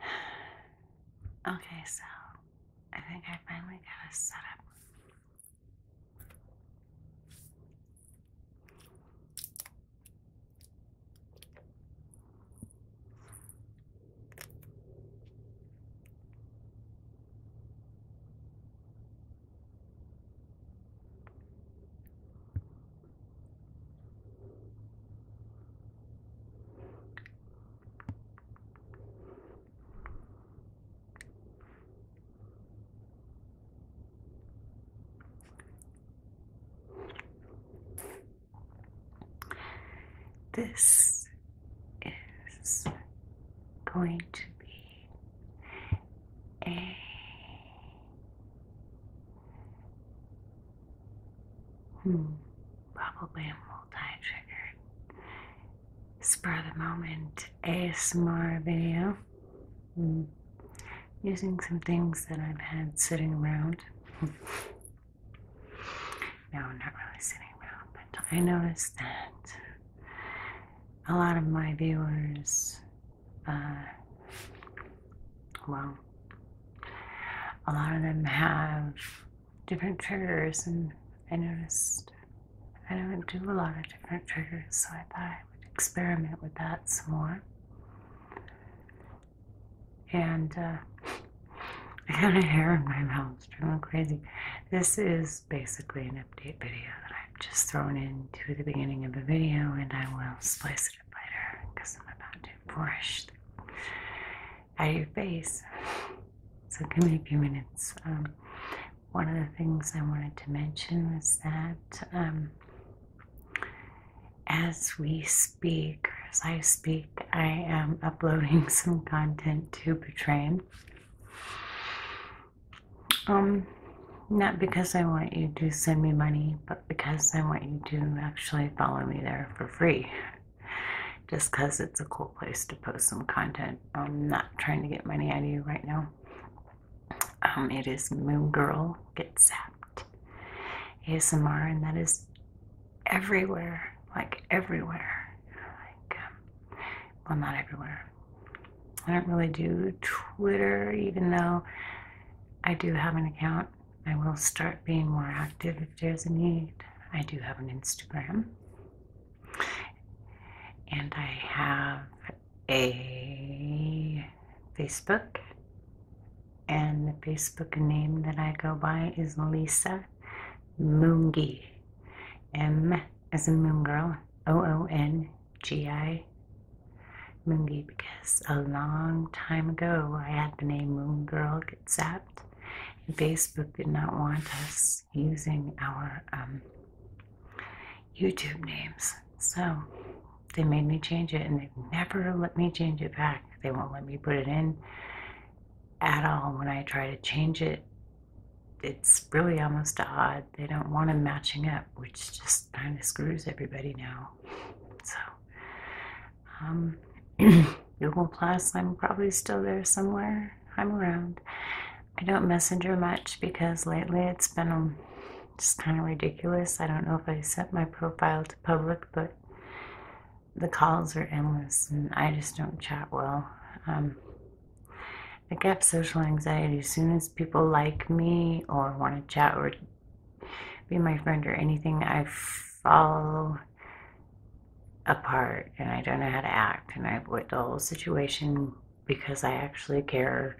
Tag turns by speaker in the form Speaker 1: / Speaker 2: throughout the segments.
Speaker 1: Okay, so I think I finally got a up. This is going to be a Hmm, probably a multi-triggered spur of the moment ASMR video. Hmm. Using some things that I've had sitting around. no, not really sitting around, but I noticed that a lot of my viewers uh, well, a lot of them have different triggers, and I noticed I don't do a lot of different triggers, so I thought I would experiment with that some more. And uh, I got a hair in my mouth, it's driving crazy. This is basically an update video that I've just thrown into the beginning of the video, and I will splice it sensitive later because I'm about to brush out your face. So give me a few minutes. one of the things I wanted to mention was that um, as we speak, or as I speak, I am uploading some content to Patreon. Um, not because I want you to send me money, but because I want you to actually follow me there for free. Just because it's a cool place to post some content. I'm not trying to get money out of you right now. Um, it is Moon Girl gets Zapped ASMR, and that is everywhere. Like, everywhere. Like, um, well, not everywhere. I don't really do Twitter, even though I do have an account. I will start being more active if there's a need. I do have an Instagram. And I have a Facebook. And the Facebook name that I go by is Lisa Moongee, M as in moon girl, O O N GI Moongi because a long time ago I had the name Moon Girl get zapped, and Facebook did not want us using our um, YouTube names. So they made me change it, and they've never let me change it back. They won't let me put it in at all when I try to change it. It's really almost odd they don't want them matching up, which just kind of screws everybody now. So, um, Google Plus, I'm probably still there somewhere. I'm around. I don't messenger much because lately it's been um, just kind of ridiculous. I don't know if I set my profile to public, but the calls are endless and I just don't chat well. Um, I get social anxiety as soon as people like me or want to chat or be my friend or anything. I fall apart and I don't know how to act, and I avoid the whole situation because I actually care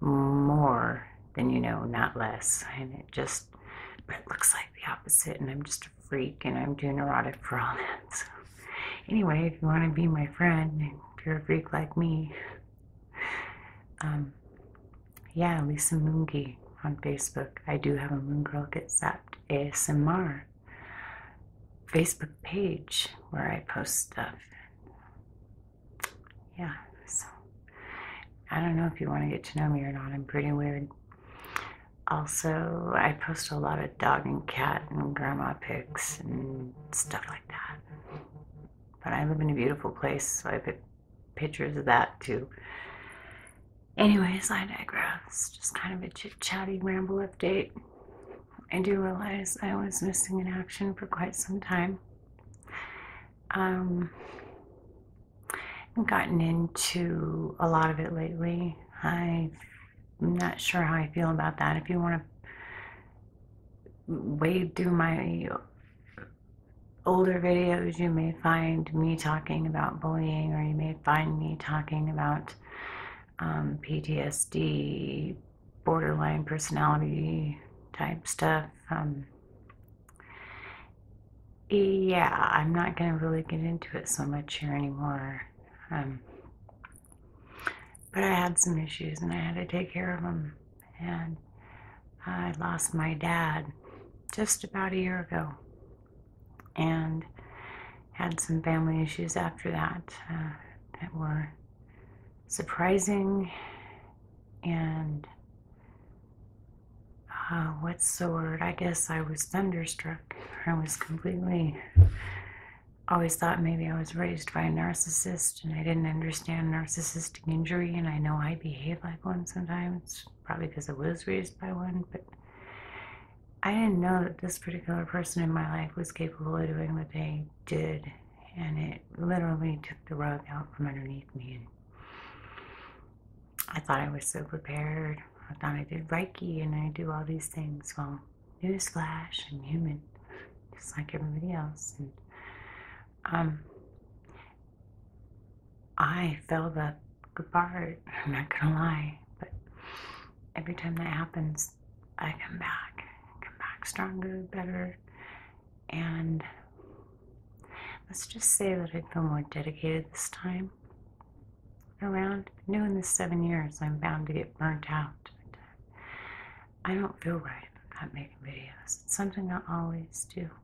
Speaker 1: more than you know, not less. And it just, but it looks like the opposite, and I'm just a freak and I'm too neurotic for all that. So, anyway, if you want to be my friend, if you're a freak like me, um, yeah, Lisa Moongi on Facebook. I do have a Moon Girl Gets Zapped ASMR Facebook page where I post stuff. Yeah, so I don't know if you want to get to know me or not. I'm pretty weird. Also, I post a lot of dog and cat and grandma pics and stuff but I live in a beautiful place, so I picked pictures of that too. Anyways, I digress. Just kind of a chit chatty ramble update. I do realize I was missing in action for quite some time. Um, gotten into a lot of it lately. I'm not sure how I feel about that. If you want to wade through my older videos, you may find me talking about bullying, or you may find me talking about um, PTSD, borderline personality type stuff. Um, yeah, I'm not going to really get into it so much here anymore. Um, but I had some issues and I had to take care of them. And I lost my dad just about a year ago and had some family issues after that uh, that were surprising and uh, what's the word? I guess I was thunderstruck. I was completely always thought maybe I was raised by a narcissist and I didn't understand narcissistic injury, and I know I behave like one sometimes, probably because I was raised by one, but I didn't know that this particular person in my life was capable of doing what they did, and it literally took the rug out from underneath me. And I thought I was so prepared. I thought I did Reiki and I do all these things. Well, Newsflash, I'm human, just like everybody else. And um, I felt that part. I'm not gonna lie, but every time that happens, I come back, come back stronger, better, and let's just say that I feel more dedicated this time around. I knew in the seven years I'm bound to get burnt out. I don't feel right about making videos. It's something I always do. You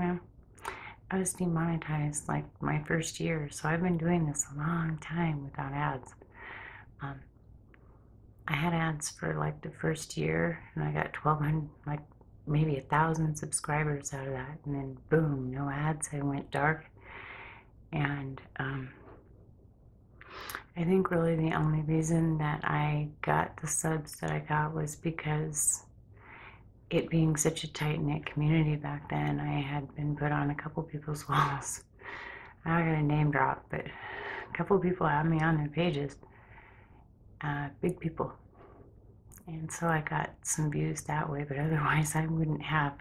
Speaker 1: know? I was demonetized like my first year, so I've been doing this a long time without ads. Um, I had ads for like the first year, and I got 1,200, like maybe a thousand subscribers out of that, and then boom, no ads. I went dark, and um, I think really the only reason that I got the subs that I got was because it being such a tight knit community back then, I had been put on a couple people's walls. I'm not gonna name drop, but a couple people had me on their pages. Uh, big people. And so I got some views that way, but otherwise I wouldn't have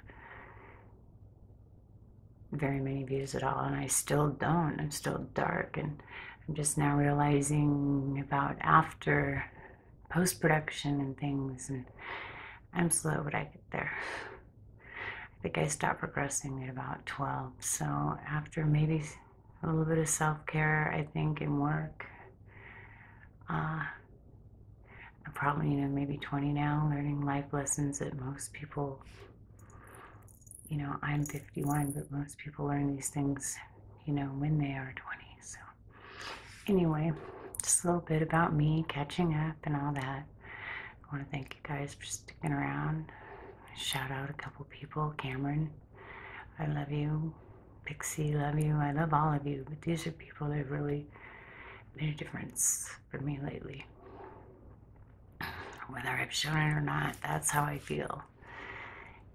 Speaker 1: very many views at all, and I still don't. I'm still dark, and I'm just now realizing about after post production and things, and I'm slow, but I get there. I think I stopped progressing at about 12, so after maybe a little bit of self care, I think, and work. Uh, I'm probably, you know, maybe 20 now, learning life lessons that most people, you know, I'm 51, but most people learn these things, you know, when they are 20. So, anyway, just a little bit about me catching up and all that. I want to thank you guys for sticking around. Shout out a couple people. Cameron, I love you. Pixie, love you. I love all of you, but these are people that really made a difference for me lately. Whether I've shown it or not, that's how I feel.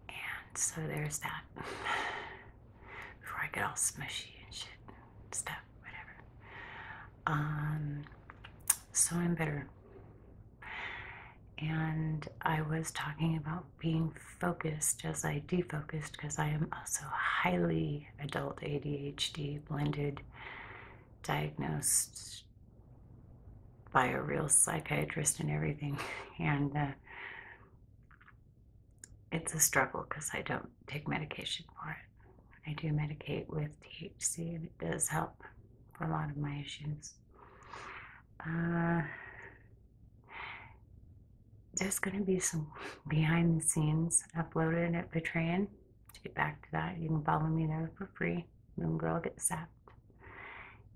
Speaker 1: And so there's that. Before I get all smushy and shit and stuff, whatever. Um, so I'm better. And I was talking about being focused as I defocused because I am also highly adult ADHD blended diagnosed by a real psychiatrist and everything. And uh, it's a struggle because I don't take medication for it. I do medicate with THC, and it does help for a lot of my issues. Uh, there's going to be some behind the scenes uploaded at Patreon. To get back to that, you can follow me there for free. Moon Girl gets Sapped.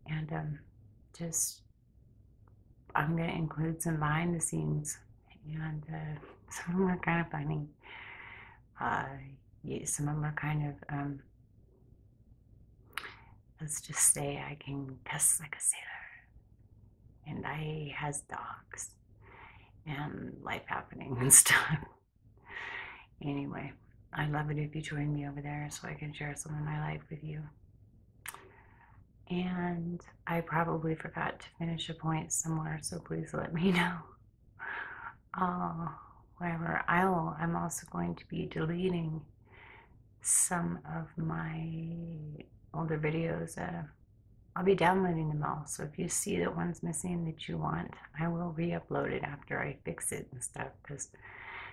Speaker 1: And um, just, I'm going to include some behind the scenes. And uh, some of them are kind of funny. Uh, some of them are kind of, um, let's just say I can cuss like a sailor. Uh, and I has dogs and life happening and stuff. anyway, I'd love it if you join me over there so I can share some of my life with you. And I probably forgot to finish a point somewhere, so please let me know. Uh, whatever. I will, I'm also going to be deleting some of my older videos that I'll be downloading them all. So if you see that one's missing that you want, I will re-upload it after I fix it and stuff because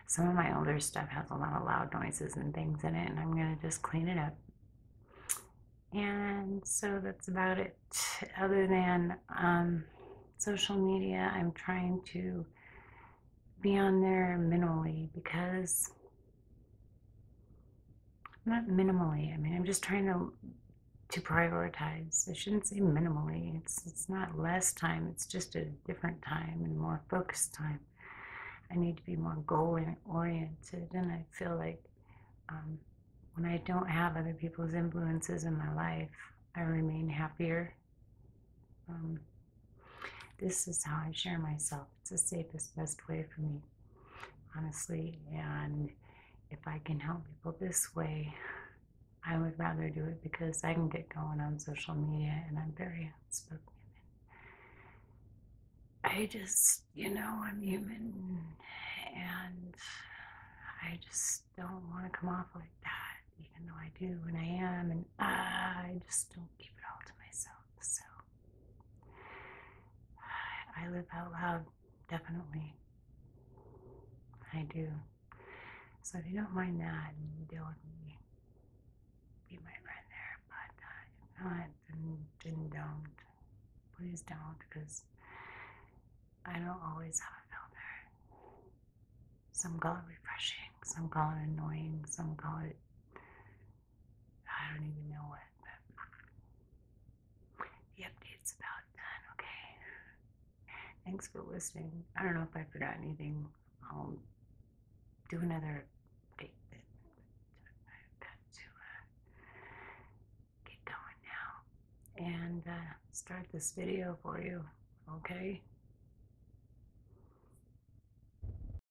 Speaker 1: some of my older stuff has a lot of loud noises and things in it and I'm going to just clean it up. And so that's about it. Other than um, social media, I'm trying to be on there minimally because not minimally. I mean, I'm just trying to to prioritize. I shouldn't say minimally. It's it's not less time. It's just a different time and more focused time. I need to be more goal oriented, and I feel like um, when I don't have other people's influences in my life, I remain happier. Um, this is how I share myself. It's the safest, best way for me, honestly. And if I can help people this way, I would rather do it because I can get going on social media and I'm very outspoken. I just, you know, I'm human and I just don't want to come off like that, even though I do and I am. And I just don't keep it all to myself. So. I live out loud, definitely. I do. So if you don't mind that, you deal with me. Be my friend there, but uh, if not, then, then don't. Please don't, because I don't always have a filter. Some call it refreshing, some call it annoying, some call it I don't even know what, but the update's about done, okay? Thanks for listening. I don't know if I forgot anything. I'll do another update, got to uh, get going now and uh, start this video for you, okay?